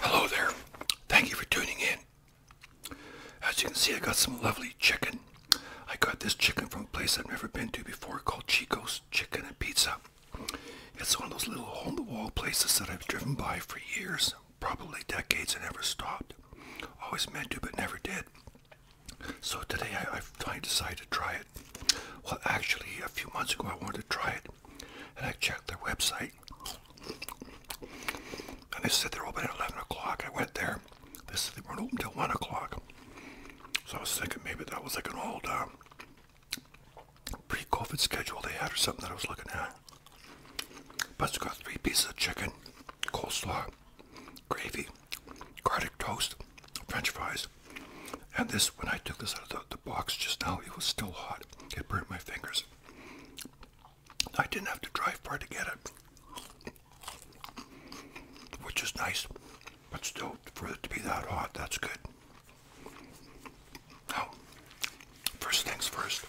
Hello there. Thank you for tuning in. As you can see, I got some lovely chicken. I got this chicken from a place I've never been to before called Chico's Chicken and Pizza. It's one of those little hole in the wall places that I've driven by for years probably decades I never stopped. Always meant to, but never did. So today I, I decided to try it. Well, actually, a few months ago I wanted to try it, and I checked their website. And they said they're open at 11 o'clock. I went there. They said they weren't open till 1 o'clock. So I was thinking maybe that was like an old uh, pre-COVID schedule they had or something that I was looking at. But it's got three pieces of chicken, coleslaw, gravy, garlic toast, french fries. And this, when I took this out of the, box just now, it was still hot. It burned my fingers. I didn't have to drive far to get it, which is nice. But still, for it to be that hot, that's good. Now, first things first.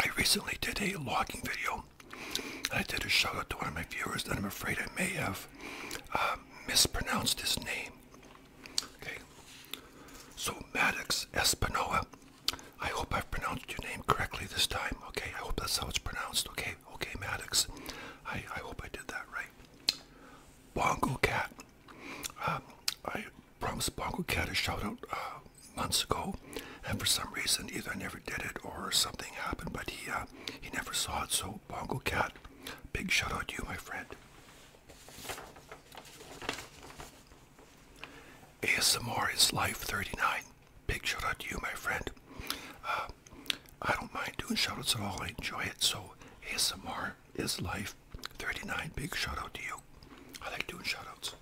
I recently did a logging video. and I did a shout out to one of my viewers that I'm afraid I may have uh, mispronounced his name. Okay, so Maddox Espinoa. I hope I've pronounced your name correctly this time. Okay, I hope that's how it's pronounced. Okay, okay, Maddox. I, I hope I did that right. Bongo Cat. Um, I promised Bongo Cat a shout out uh, months ago, and for some reason, either I never did it or something happened, but he uh, he never saw it. So Bongo Cat, big shout out to you, my friend. ASMR is Life 39. Big shout out to you, my friend. Uh, I don't mind doing shout outs at all. I enjoy it. So ASMR is Life 39, big shout out to you. I like doing shout outs.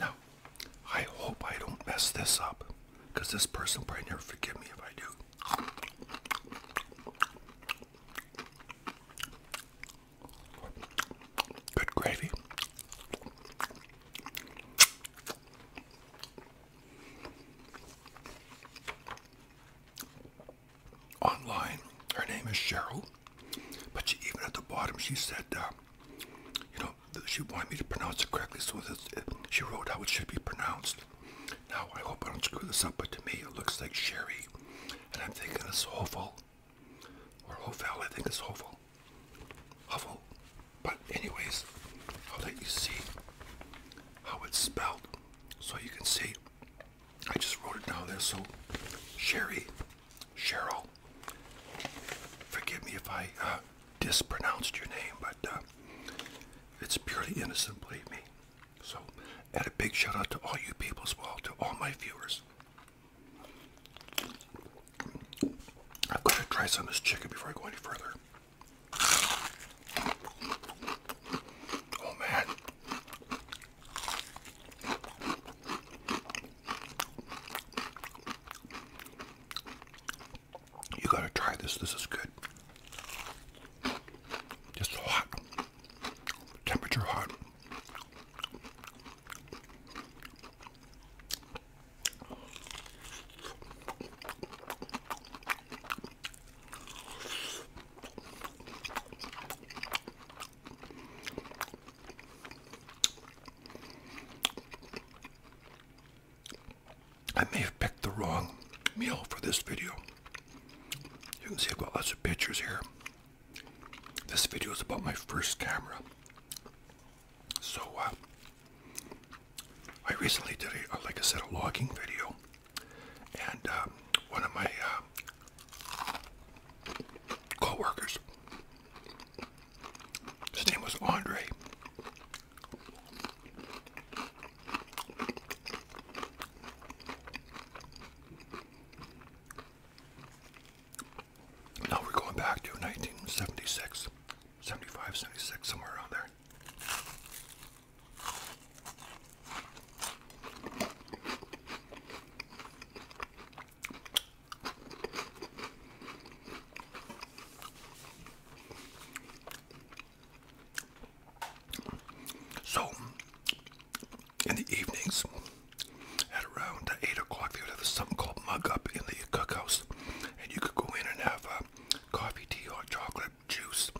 Now, I hope I don't mess this up because this person probably never forgive me if I do. Good gravy online. Her name is Cheryl, but she, even at the bottom, she said, uh, you know, she wanted me to pronounce it correctly, so she wrote how it should be pronounced. Now, I hope I don't screw this up, but to me, it looks like Sherry, and I'm thinking it's Hovel, or Hovel, I think it's Hovel, Hovel. But anyways, I'll let you see how it's spelled, so you can see I just wrote it down there. So, Sherry, Cheryl, forgive me if I uh, dispronounced your name, but uh, it's purely innocent, believe me. So, and a big shout out to all you people as well, to all my viewers. I've got to try some of this chicken before I go any further. Oh man, you gotta try this. This is good. Just hot. Temperature hot. I may have picked the wrong meal for this video. You can see I've got lots of pictures here. This video is about my first camera. So, uh, I recently did, a, like I said, a logging video and um, one of my uh, his name was Andre. Now we're going back to 1976, 75, 76, somewhere around there. So, in the evenings, at around 8 o'clock, they would have something called Mug Up in the cookhouse. And you could go in and have uh, coffee, tea, hot chocolate, juice,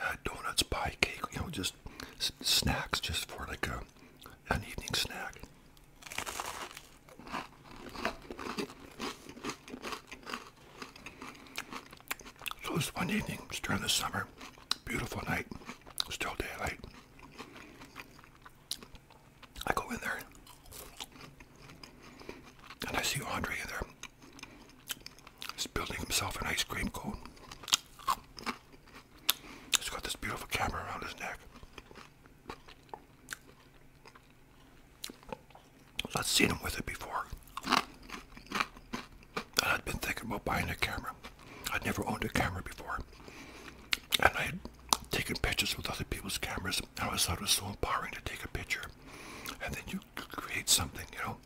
uh, donuts, pie, cake, you know, just snacks, just for like a an evening snack. So this one evening, during the summer, beautiful night, still daylight. I go in there and I see Andre in there. He's building himself an ice cream cone. He's got this beautiful camera around his neck. I'd seen him with it before. I'd been thinking about buying a camera. I'd never owned a camera before. And I had taken pictures with other people's cameras. And I always thought it was so empowering to take a picture. And then you create something, you know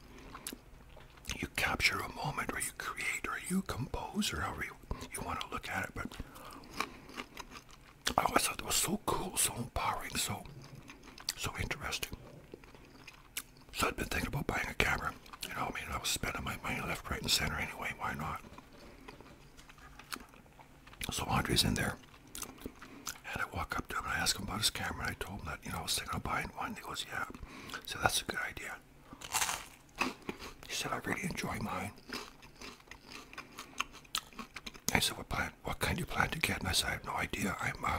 you capture a moment or you create or you compose or however you, want to look at it. But I always thought it was so cool, so empowering, so so interesting. So I'd been thinking about buying a camera. You know, I mean, I was spending my money left, right, and center anyway. Why not? So Andre's in there. And I walk up to him and I ask him about his camera. And I told him that, you know, I was thinking of buying one. He goes, yeah. So that's a good idea. He said, I really enjoy mine. I said, what plan, what kind do you plan to get? And I said, I have no idea. I'm a, uh,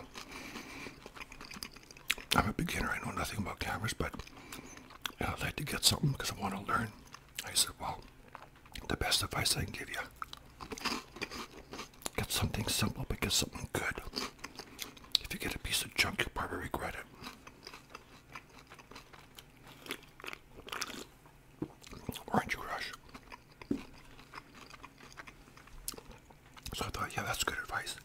I'm a beginner. I know nothing about cameras, but I'd like to get something because I want to learn. I said, well, the best advice I can give you, get something simple, but get something good. If you get a piece of junk, you'll probably regret it. Orange Crush. So I thought, yeah, that's good advice.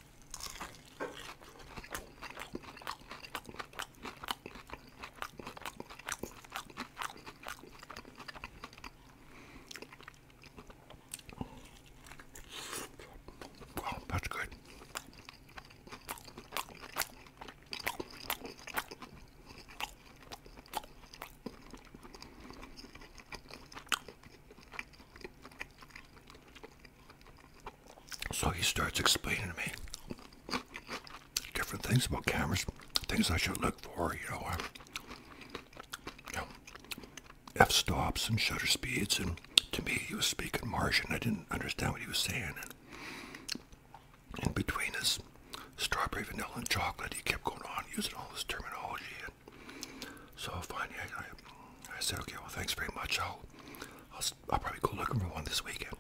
Wow, that's good. So he starts explaining to me different things about cameras, things I should look for, you know. Um, you know f-stops and shutter speeds and to me he was speaking martian i didn't understand what he was saying and in between his strawberry vanilla and chocolate he kept going on using all this terminology and so finally i, I, said okay well thanks very much I'll i'll probably go looking for one this weekend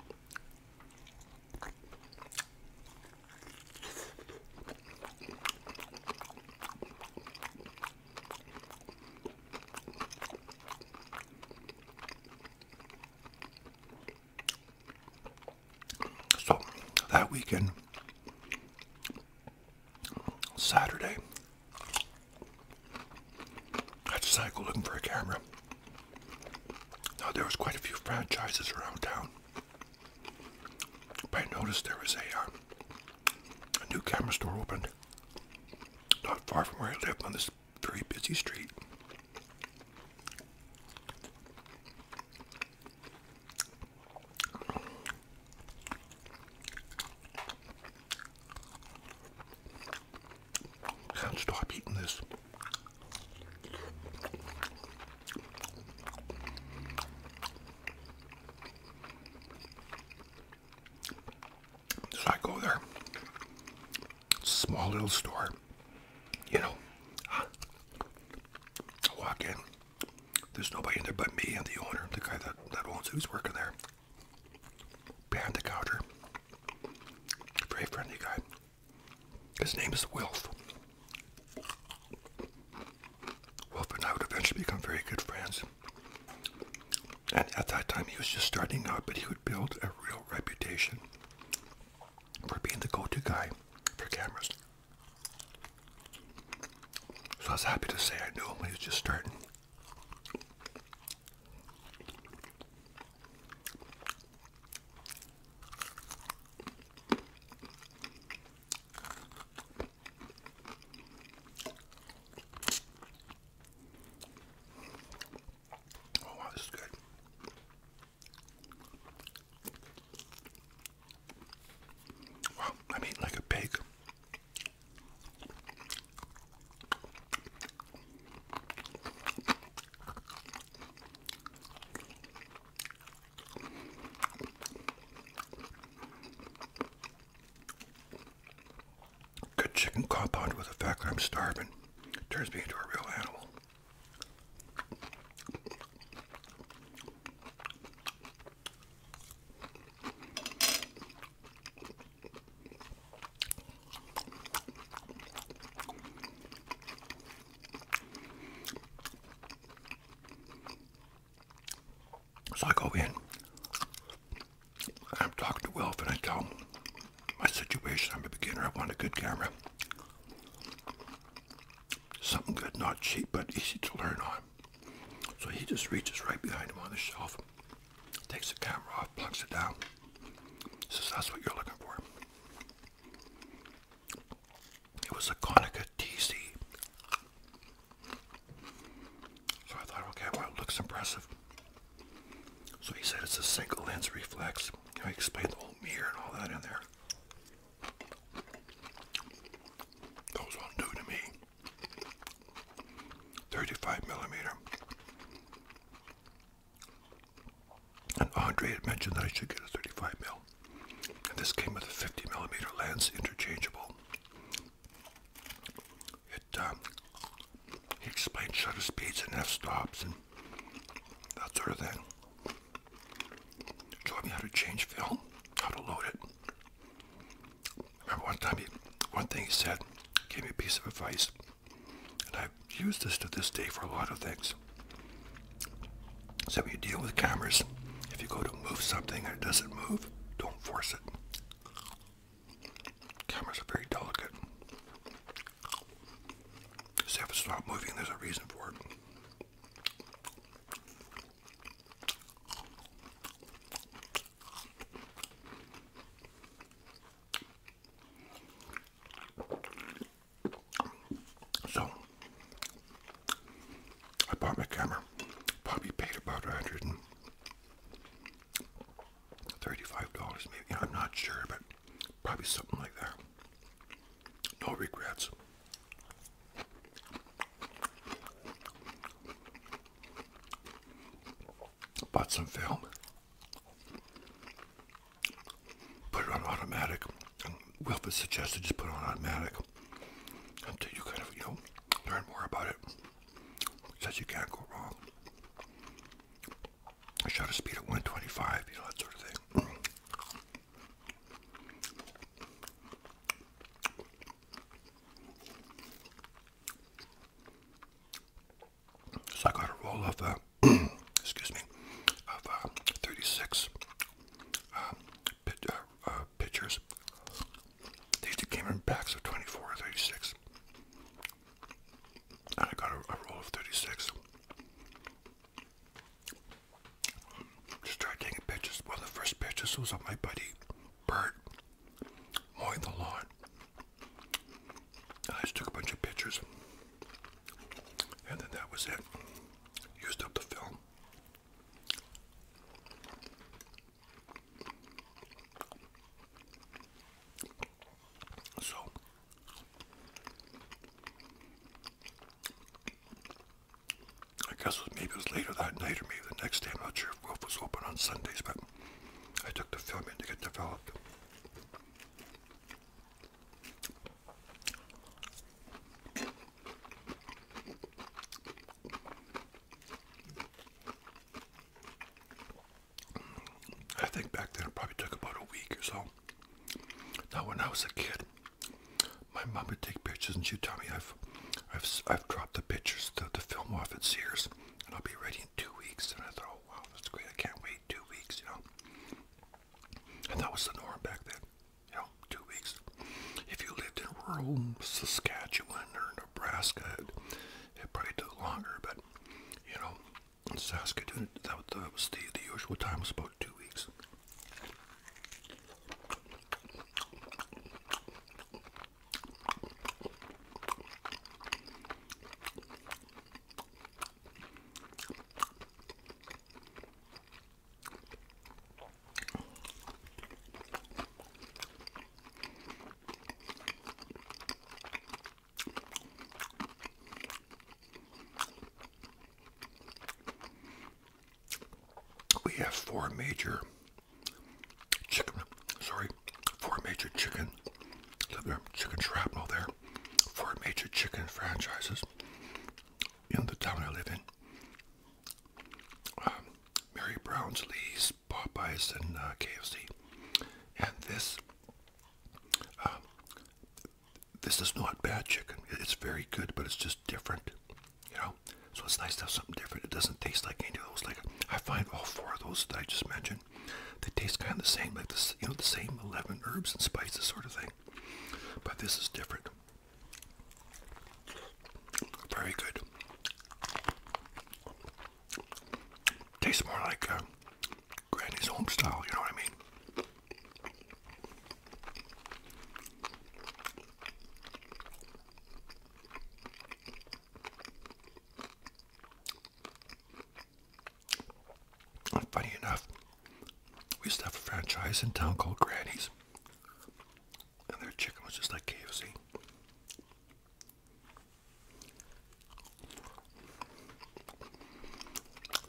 so that weekend, Saturday, I had to cycle looking for a camera. Now there was quite a few franchises around town, but I noticed there was a um, a new camera store opened not far from where I lived on this very busy street. Can't stop eating this. So I go there. Small little store. You know, walk in. There's nobody in there but me and the owner, the guy that, that owns it, who's working there. Behind the counter. Very friendly guy. His name is Wilf. Wilf and I would eventually become very good friends. And at that time, he was just starting out, but he would build a real reputation for being the go-to guy for cameras. So I was happy to say I knew him when he was just starting. Oh, wow, this is good. Wow, I mean like a pig. Good chicken compound with the fact that I'm starving turns me into a real animal. So I go in. I'm talking to Wolf, and I tell him my situation. I'm a beginner. I want a good camera. Something good, not cheap, but easy to learn on. So he just reaches right behind him on the shelf, takes the camera off, plugs it down. Says, that's what you're looking for. It was a Konica TC so I thought, okay, well, it looks impressive. So he said it's a single lens reflex. Can I explain the whole mirror and all that in there. That was all new to me. 35 millimeter. And Andre had mentioned that I should get a 35 mil. And this came with a 50 millimeter lens interchangeable. Um, he explained shutter speeds and f-stops and that sort of thing. taught me how to change film, how to load it. Remember one time, he, one thing he said, gave me a piece of advice, and I've used this to this day for a lot of things. So when you deal with cameras, if you go to move something and it doesn't move, don't force it. Cameras are very delicate. if it's not moving, there's a reason for it. So, I bought my camera. Probably paid about $135, maybe. I'm not sure, but probably something like that. No regrets. Bought some film. Put it on automatic. Wilfred suggested just put it on automatic until you kind of, you know, learn more about it. Says you can't go wrong. I shot a speed of 125, you know, that sort of thing. So I got a roll of, uh, excuse me, of uh, 36 uh, uh, uh, pictures. pitchers. These came in packs of 24 or 36. And I got a, roll of 36. Just tried taking pictures. One of the first pictures was of my buddy, Bert, mowing the lawn. I just took a bunch of pictures. And then that was it. Used up the film. So I guess maybe it was later that night or maybe the next day. I'm not sure if Wolf was open on Sundays, but I took the film in to get developed. I think back then it probably took about a week or so. Now, when I was a kid, my mom would take pictures and she'd tell me I've, I've, I've dropped the pictures, the, the film off at Sears, and I'll be ready in two weeks. And I thought, oh wow, that's great! I can't wait two weeks, you know. And that was the norm back then, you know, two weeks. If you lived in rural Saskatchewan or Nebraska, it, probably took longer, but you know, in Saskatoon, that was the usual time, was about two weeks. We have four major chicken, sorry, four major chicken, chicken shrapnel there, four major chicken franchises in the town I live in. Um, Mary Brown's, Lee's, Popeyes, and uh, KFC. And this, um, this is not bad chicken. It's very good, but it's just different, you know. So it's nice to have something different. It doesn't taste like any of those. Like I find all four of those that I just mentioned, they taste kind of the same, like this, you know, the same eleven herbs and spices sort of thing. But this is different. Very good. Tastes more like uh, Granny's home style, you know what I mean? funny enough, we used to have a franchise in town called Granny's and their chicken was just like KFC.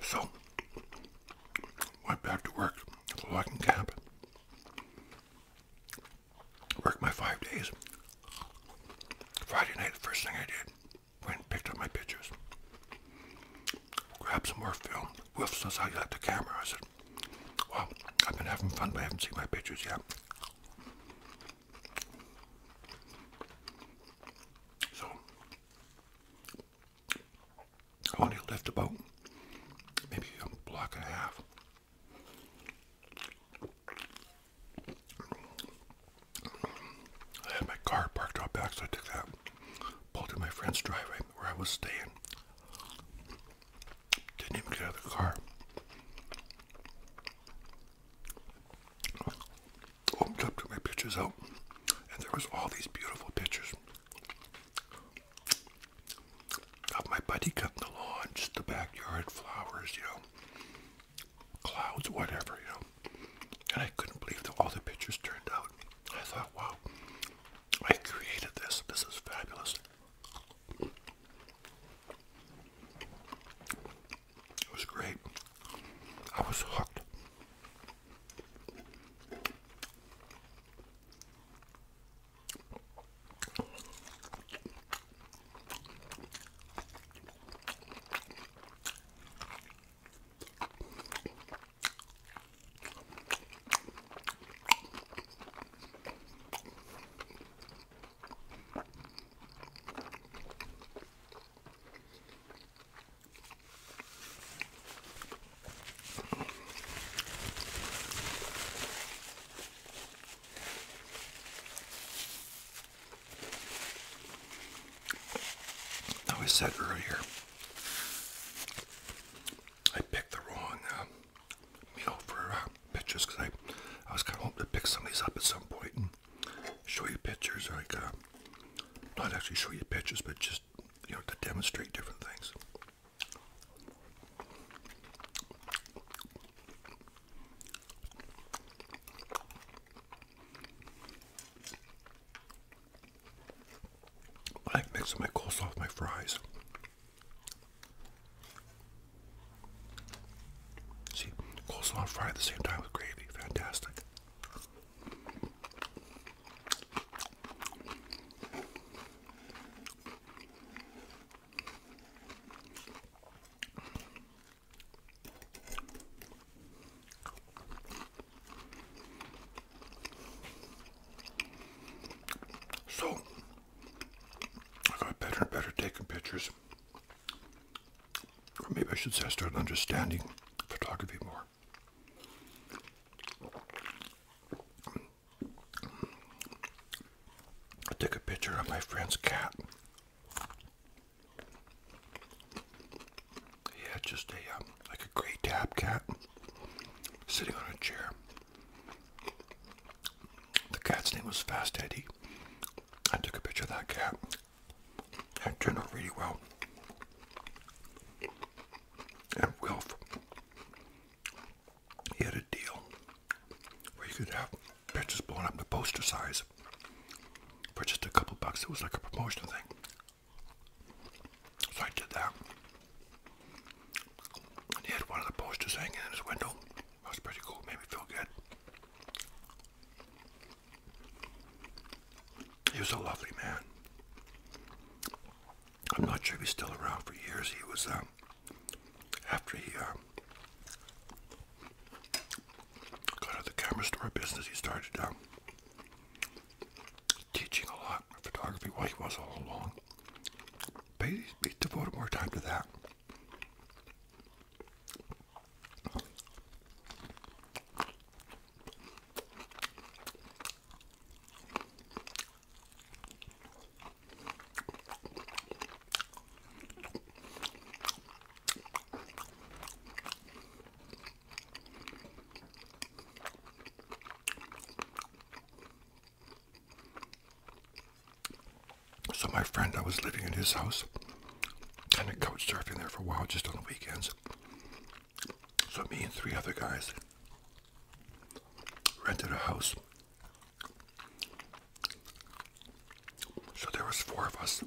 So, went back to work at logging camp. Worked my five days. Friday night, the first thing I did, went and picked up my pictures. Grabbed some more film. Wolf says, I got the camera. I said, Wow, I've been having fun, but I haven't seen my pictures yet. So, I only left about maybe a block and a half. I had my car parked out back, so I took that, pulled to my friend's driveway where I was staying. Didn't even get out of the car. Opened up, took my pictures out, and there was all these beautiful pictures of my buddy cutting the lawn, just the backyard, flowers, you know, clouds, whatever, you know. And I couldn't believe that all the pictures turned out. I thought, wow, I created this. This is fabulous. It was great. I was hooked. I said earlier, I picked the wrong uh, meal for uh, pictures because I, I was kind of hoping to pick some of these up at some point and show you pictures. Like, uh, not actually show you pictures, but just, you know, to demonstrate different things. I like mixing my coleslaw with my fries. See, coleslaw fried at the same time with gravy. Fantastic. So I got better and better taking pictures. Or maybe I should say I started understanding photography more. I took a picture of my friend's cat. He just a um, like a gray tab cat sitting on a chair. The cat's name was Fast Eddie. I took a picture of that cat. That turned out really well. And Wilf, he had a deal where you could have pictures blown up to poster size for just a couple bucks. It was like a promotional thing. So I did that he had one of the posters hanging in his window. That was pretty cool, made me feel good. He was a lovely man. I'm not sure if he's still around for years. He was, um, after he um, got out of the camera store business, he started um, teaching a lot of photography. Well, he was all along. Maybe devote more time to that. So my friend, I was living in his house, and kind of couch surfing there for a while, just on the weekends. So me and three other guys rented a house. So there was four of us.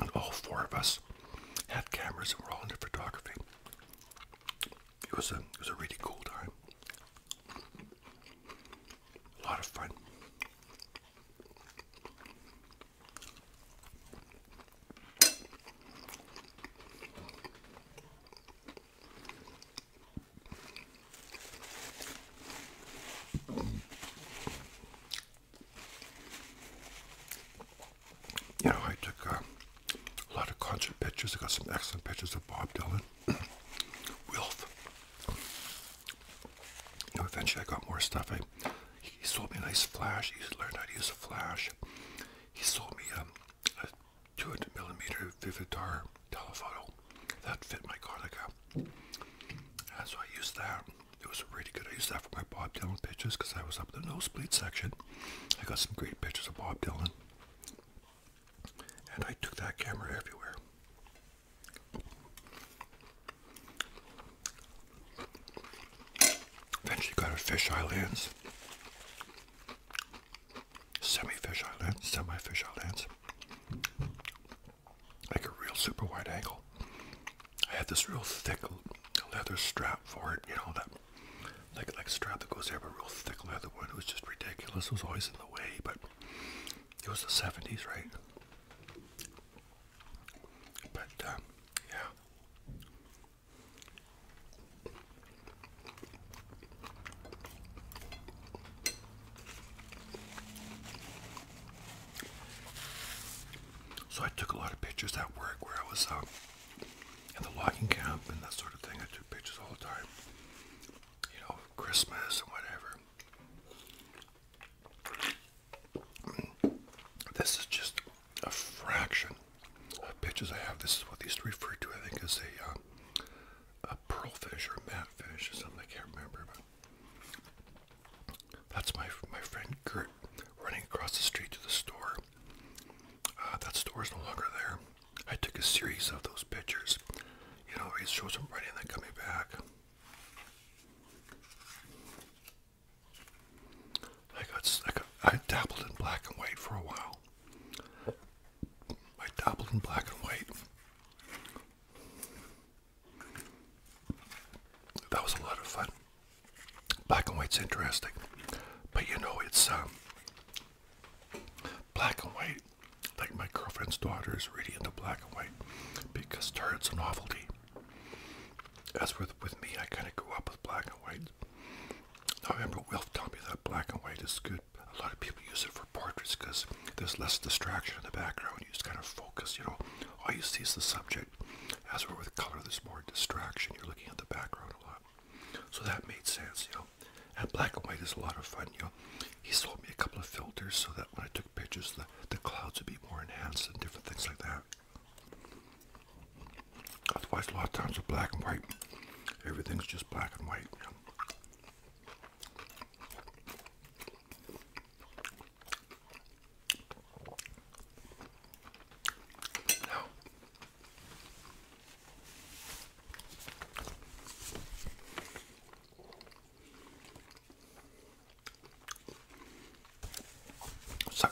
And all four of us had cameras and were all into photography. It was a it was a really cool time. A lot of fun. You know, I took uh, a lot of concert pictures. I got some excellent pictures of Bob Dylan, Wilf. eventually, I got more stuff. I, he sold me a nice flash. He learned how to use a flash. He sold me um, a 200 millimeter Vividar telephoto that fit my Konica. And so I used that. It was really good. I used that for my Bob Dylan pictures because I was up in the nosebleed section. I got some great pictures of Bob Dylan. And I took that camera everywhere. Eventually got a fisheye lens. Semi-fisheye lens, semi-fisheye lens. Like a real super wide angle. I had this real thick leather strap for it, you know, that like like strap that goes there, but real thick leather one. It was just ridiculous. It was always in the way, but it was the '70s, right? But um, yeah. So I took a lot of pictures at work where I was um, and the logging camp and that sort of thing. I took pictures all the time. You know, Christmas and whatever. This is just a fraction of pictures I have. This is what they used to refer to, I think, as a, uh, a pearlfish or matfish or something. I can't remember, but that's my my friend Gert running across the street to the store Ah, that store is no longer there. I took a series of those pictures. You know, it shows them running and then coming back. I got, I dabbled in black and white for a while. I dabbled in black and white. That was a lot of fun. Black and white's interesting, but you know it's um, black and white. Like my girlfriend's daughter is really into black and white because to her it's a novelty. As with with me, I kind of grew up with black and white. I remember Wilf telling me that black and white is good. A lot of people use it for portraits because there's less distraction in the background. You just kind of focus, you know. All you see is the subject. As for with color, there's more distraction. You're looking at the background a lot. So that made sense, you know. And black and white is a lot of fun, you know. He sold me a couple of filters so that when I took pictures, the, the clouds would be more enhanced and different things like that. Otherwise, a lot of times with black and white, everything's just black and white. You know. Now,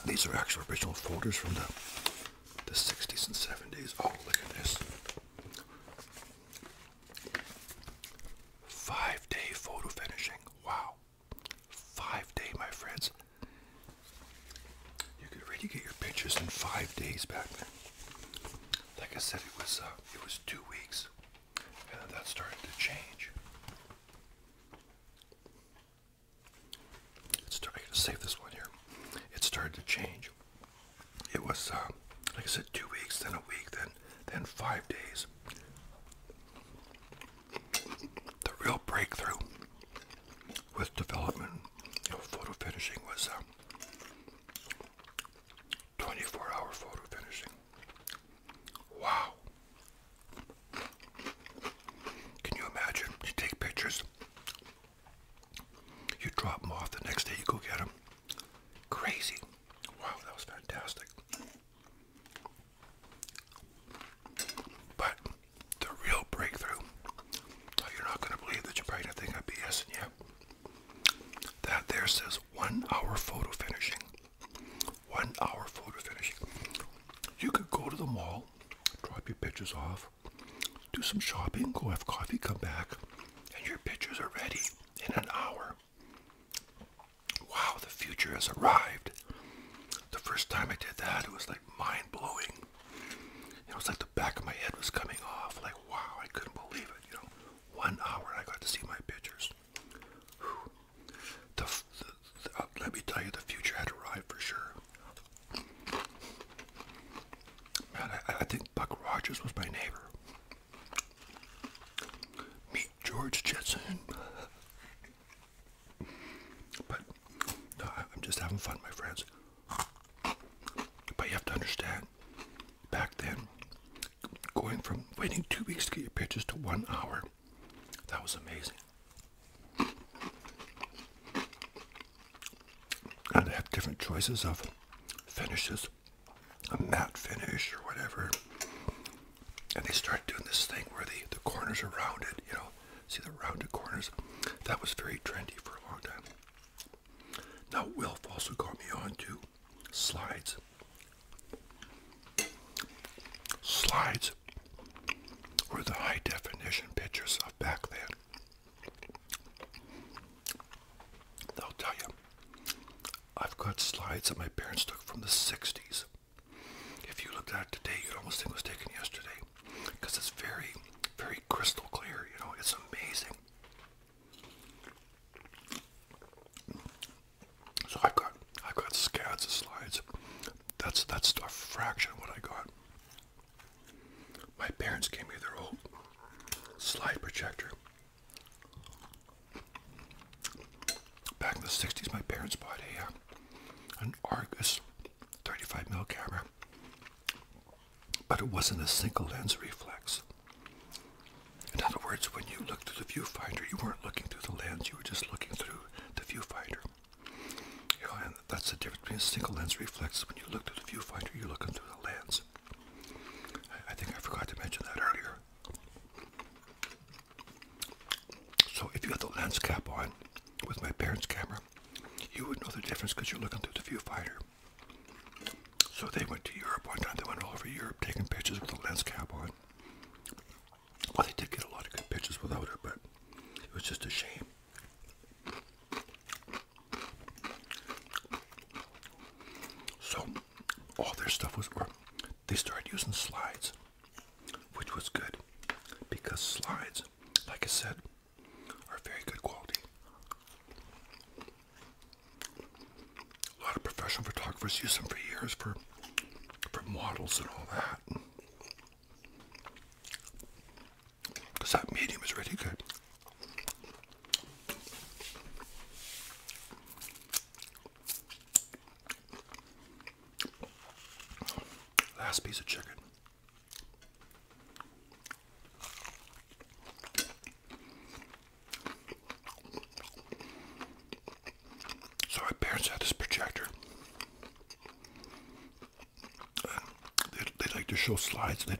these are actual original folders from the the 60s and 70s. Oh, look at this. Five day photo finishing. Wow. Five day, my friends. You could really get your pictures in five days back then. Like I said, it was uh, it was two weeks, and that started to change. It started. to save this one here. It started to change. It was uh, like I said, two weeks, then a week, then then five days. The real breakthrough with development, you know, photo finishing was 24-hour um, photo finishing. Wow! Can you imagine? You take pictures, you drop them off. The next day, you go get them. Crazy! Wow, that was fantastic. But the real breakthrough. you're not going to believe that you're probably going to think I'm BSing you. That there says one hour photo finishing. One hour photo finishing. You could go to the mall, drop your pictures off, do some shopping, go have coffee, come back, and your pictures are ready in an hour. Wow, the future has arrived. The first time I did that, it was like mind blowing. It was like the back of my head was coming off. Like, wow, I couldn't believe it. You know, one hour I got to see my pictures. Uh, let me tell you, the future had arrived for sure. Man, I think Buck Rogers was my neighbor. Meet George Jetson. But I'm just having fun, my friends. But you have to understand, back then, going from waiting two weeks to get your pictures to one hour, that was amazing. And they have different choices of finishes, a matte finish or whatever. And they started doing this thing where the, the corners are rounded, you know. See the rounded corners? That was very trendy for a long time. Now, Wilf also got me on to slides. Slides were the high definition pictures of back then. I'll tell you, I've got slides that my parents took from the 60s. If you looked at it today, you'd almost think it was taken yesterday because it's very, very crystal clear. You know, it's amazing. So I've got, I've got scads of slides. That's that's a fraction of what I got. My parents gave me their old slide projector. Back in the 60s, my parents bought a, uh, an Argus 35 mm camera, but it wasn't a single lens reflex. In other words, when you looked through the viewfinder, you weren't looking through the lens, you were just looking through the viewfinder. and that's the difference between a single lens reflex. When you looked through the viewfinder, you were looking through the lens. I, I think I forgot to mention that earlier. So if you had the lens cap on with my parents' camera, you would know the difference because you're looking through the viewfinder. So they went to Europe one time. They went all over Europe taking pictures with a lens cap on. Well, they did get a lot of good pictures without it, but it was just a shame. So all their stuff was, or they started using slides, which was good because slides like I said, are very good quality. A lot of professional photographers use them for years for for models and all that. Because that medium is really good. Last piece of chicken. So my parents had this projector. Uh, they like to show slides. They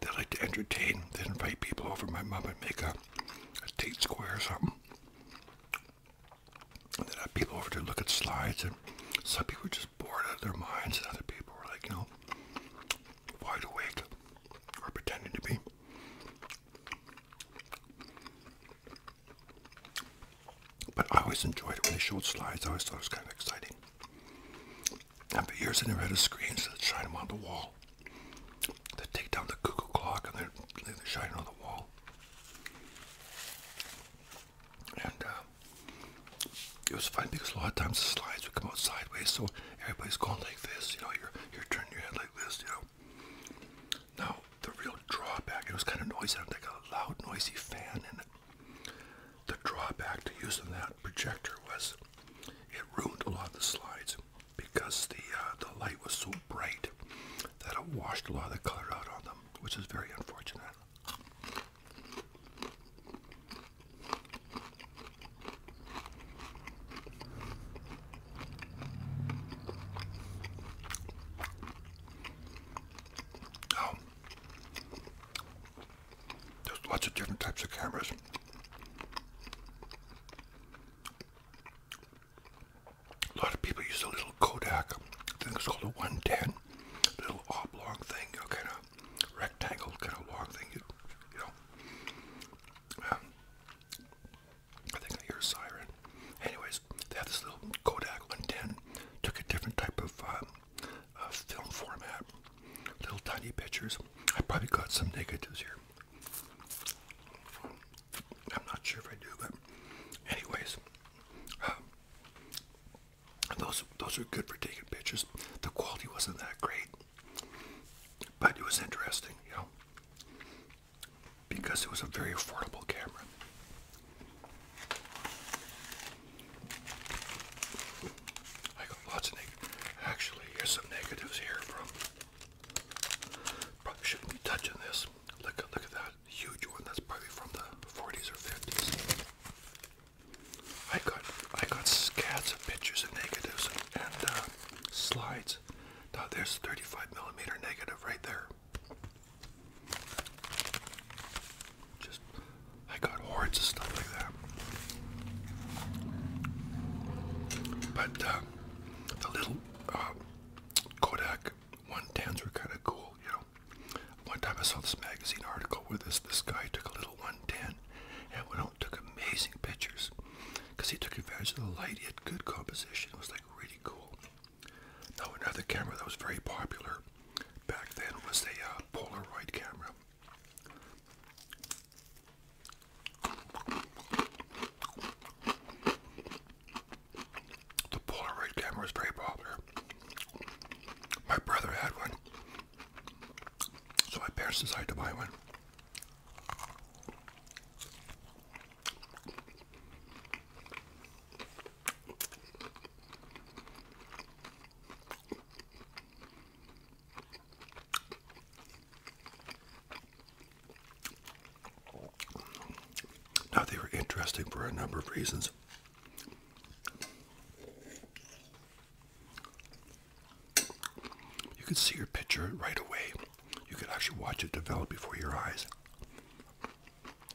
they like to entertain. They invite people over. My mom would make a, tate square or something, and then have people over to look at slides. And some people would just bored out of their minds, and other people were like, you know, wide awake or pretending to be. But I always enjoyed it when they showed slides. I always thought it was kind of exciting. And for years, I never had a screen, so they'd shine them on the wall. They'd take down the cuckoo clock and they'd, shine it on the wall. And uh, it was fun because a lot of times the slides would come out sideways, so everybody's going like this, you know, you're, you're turning your head like this, you know. Now, the real drawback, it was kind of noisy, I had like a loud, noisy fan in it. The drawback to using that projector was it ruined a lot of the slides because the, uh, the light was so bright that it washed a lot of the color out on them, which is very unfortunate. Oh, there's lots of different types of cameras. A lot of people use a little Kodak. I think it's called a 110 little oblong thing, you kind of rectangle, kind of long thing, you, you know. Um, I think I hear a siren. Anyways, they have this little Kodak one ten. Took a different type of um, uh, film format, little tiny pictures. I probably got some negatives here. I'm not sure if I do, but anyways, um, those those were good for taking pictures. The quality wasn't that great, but it was interesting, you know, because it was a very affordable camera. I got lots of Actually, here's some negatives here from. Probably shouldn't be touching this. Look, look at that huge one that's probably from the 40s or 50s. I got I got scads of pictures of negatives and, uh, slides. Now there's 35 millimeter negative right there. Just I got hordes of stuff like that. But uh, the little uh, Kodak 110s were kind of cool, you know. One time I saw this magazine article where this this guy took a little 110 and went out took amazing pictures because he took advantage of the light. He good composition. It was like really cool. Now another camera that was very popular back then was the uh, Polaroid camera. The Polaroid camera is very popular. My brother had one, so my parents decided to buy one. Now, they were interesting for a number of reasons. You could see your picture right away. You could actually watch it develop before your eyes.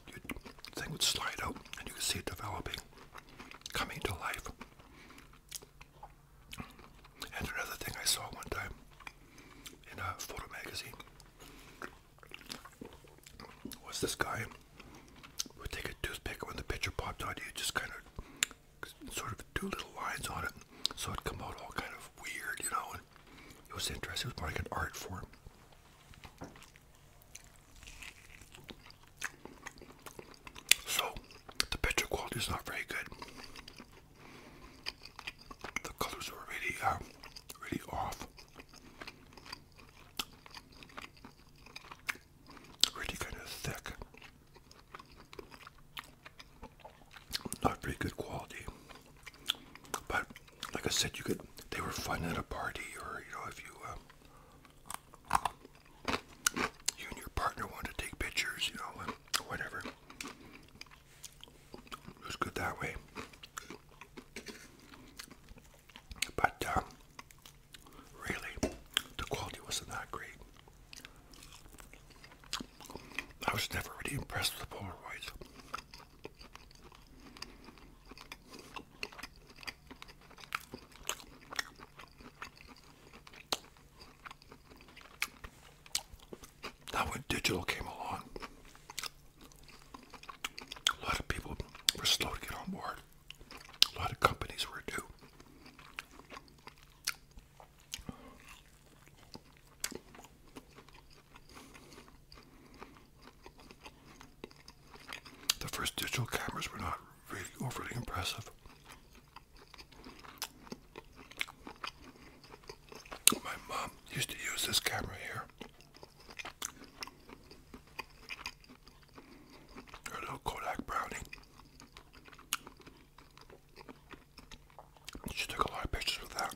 Your thing would slide out and you could see it developing, coming to life. And another thing I saw one time in a photo magazine was this guy would take a toothpick when the picture popped out, you just kind of sort of do little lines on it, so it'd out all kind of weird, you know. And it was interesting. It was more like an art form. So the picture quality is not very good. The colors were really, um, really off. Really kind of thick. Not very good quality. But like I said, you could they were fun at a party or you know if you uh, you and your partner want to take pictures, you know, whatever. It was good that way but um, really, the quality wasn't that great. I was never really impressed with the Polaroids. Now when digital came along, a lot of people were slow to get on board. A lot of companies were due. The first digital cameras were not really overly impressive. My mom used to use this camera here. A little Kodak brownie. She took a lot of pictures of that.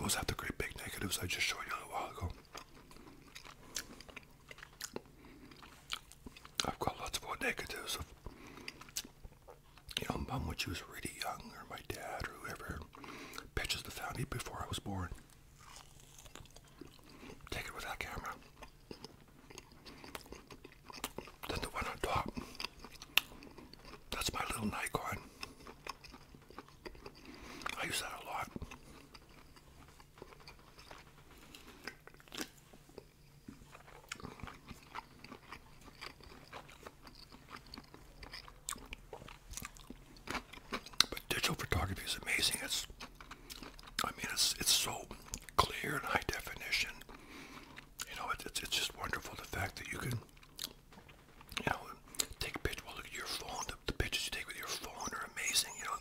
Those have the great big negatives I just showed you a little while ago. I've got lots more negatives of, you mom when she was really young, or my dad, or whoever, Pitches the found before I was born. Take it with that camera. Then the one on top. That's my little Nikon. I use that a lot. But digital photography is amazing. It's, I mean, it's it's so clear and high definition. You know, it's it's just wonderful the fact that you can, you know, take pictures. Well, look at your phone. The, the pictures you take with your phone are amazing. You know,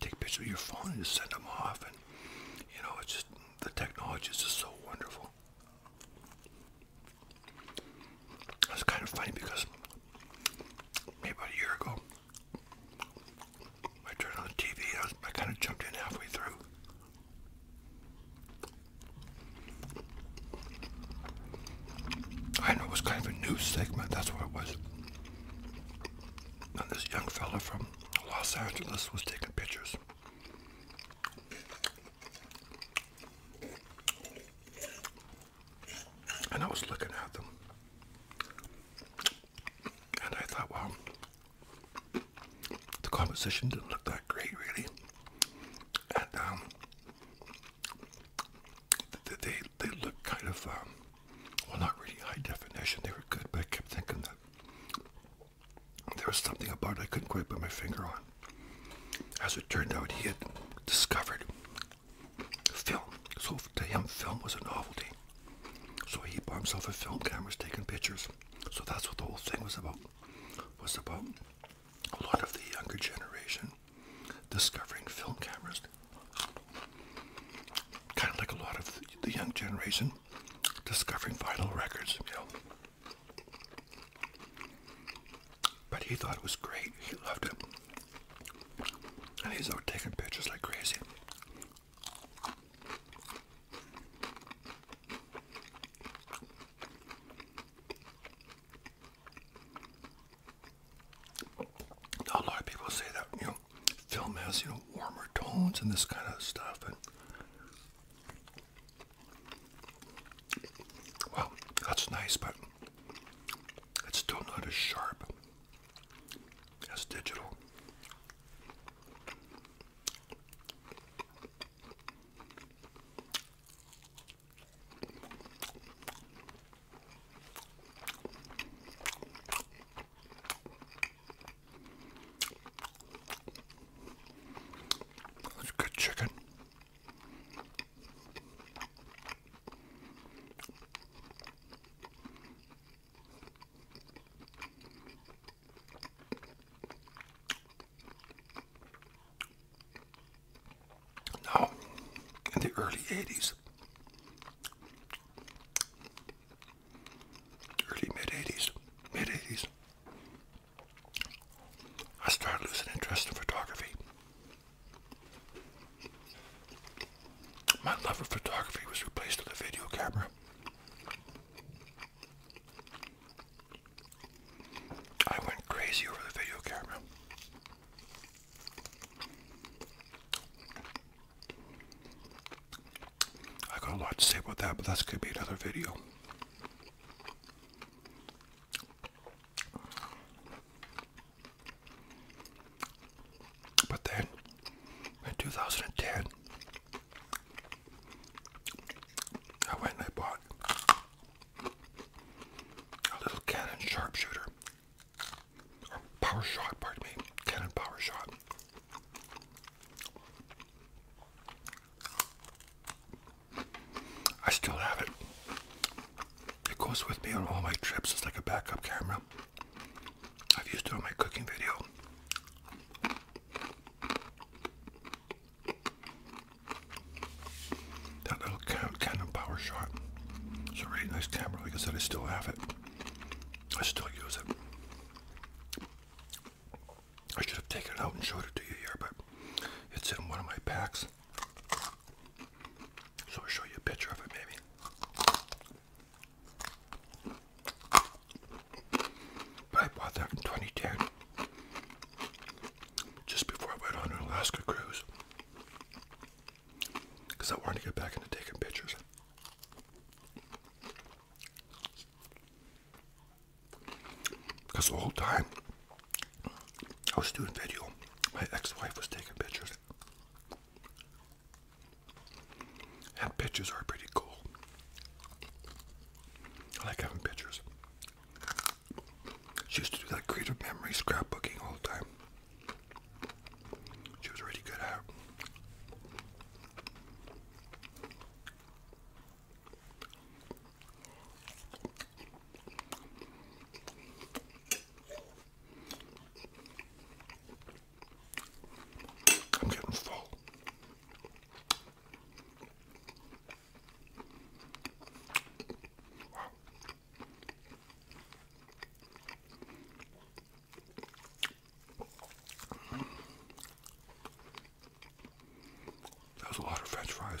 take pictures with your phone and just send them off, and you know, it's just the technology is just so wonderful was kind of funny because maybe about a year ago, I turned on the TV I, was, I kind of jumped in halfway through. I know it was kind of a news segment, that's what it was. And this young fella from Los Angeles was taking pictures. And I was looking at them. And I thought, well, the composition didn't look that great, really. And um, they they looked kind of um, well, not really high definition. They were good, but I kept thinking that there was something about it I couldn't quite put my finger on. As it turned out, he had discovered film. So to him, film was a novelty. So he bought himself a film camera, was taking pictures. So that's what the whole thing was about. Was about a lot of the younger generation discovering film cameras. Kind of like a lot of the young generation discovering vinyl records, but he thought it was great. He loved it. And he's out taking pictures like crazy. A lot of people say that, you know, film has, you know, warmer tones and this kind of stuff. Well, that's nice, but it's still not as sharp as digital. That's good chicken. Now, in the early 80s, early mid 80s, mid 80s, I started losing interest in photography. My love of photography was replaced with a video camera. I went crazy over the video camera. I got a lot to say about that, but that's going to be another video. But then in 2010, I went and I bought a little Canon sharpshooter or power pardon me, Canon power I still have it. It goes with me on all my trips. It's like a backup camera. I've used it on my cooking video. That little Canon Power It's a really nice camera. Like I said, I still have it. I still use it. I should have taken it out and showed it to you here, but it's in one of my packs. So I'll show you a picture of it maybe. But I bought that in 2010. Just before I went on an Alaska cruise. Because I wanted to get back into taking pictures. Because the whole time I was doing video. My ex-wife was taking pictures. And pictures are pretty cool. I like having pictures. She used to do that creative memory scrapbooking all the time. She was really good at it. I'm getting full. That was a lot of french fries.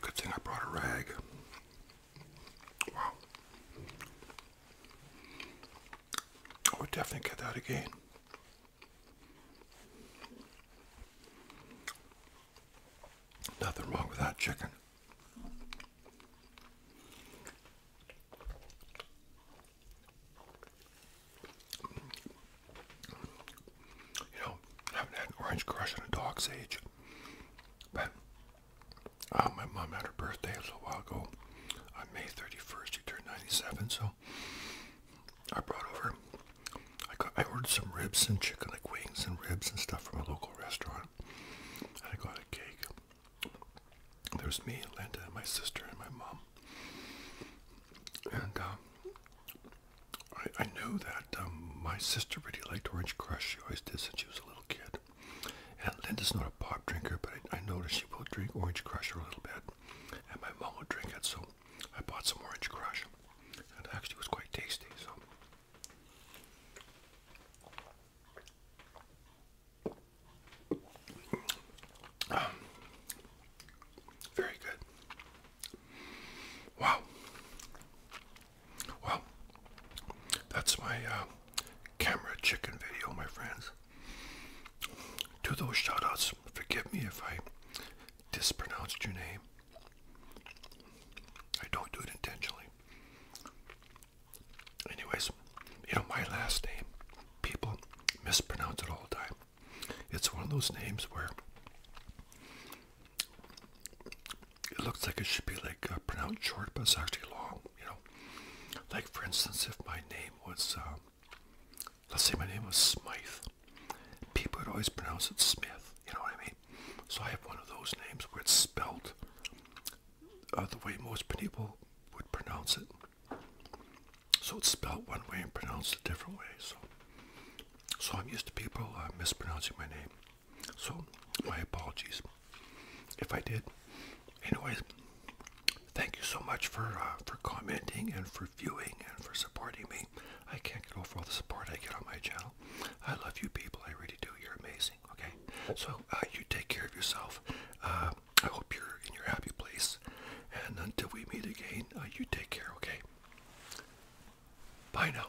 Good thing I brought a rag. Wow. I would definitely get that again. Nothing wrong with that chicken. You know, I have orange crush in a dog's age. But uh, my mom had her birthday a little while ago. On May 31st, she turned 97, so I brought over I, got, I ordered some ribs and chicken, like wings and ribs and stuff from a local restaurant. And I got a cake. There's me, Linda, and my sister, and my mom. And um, I, I knew that um, my sister really liked Orange Crush. She always did since she was a little kid. And Linda's not a pop drinker, but I, noticed she will drink Orange Crush a little bit. And my mom would drink it, so I bought some Orange Crush. And it actually was quite tasty, so very good. Wow. Well, that's my uh, camera chicken video, my friends. To those shoutouts, forgive me if I dispronounced your name. I don't do it intentionally. Anyways, you know, my last name, people mispronounce it all the time. It's one of those names where it looks like it should be like uh, pronounced short, but it's actually long, you know. Like, for instance, if my name was, um, let's say my name was Smythe, people would always pronounce it Smith, you know what I mean? So I have one of those names where it's spelled uh, the way most people would pronounce it. So it's spelled one way and pronounced a different way. So, so I'm used to people uh, mispronouncing my name. So my apologies if I did. Anyways, thank you so much for uh, for commenting and for viewing and for supporting me. I can't get over all the support I get on my channel. I love you people. I really do. You're amazing. Okay. So uh, you take care of yourself. Uh, I hope you're in your happy place. And until we meet again, uh, you take care. Okay. Bye now.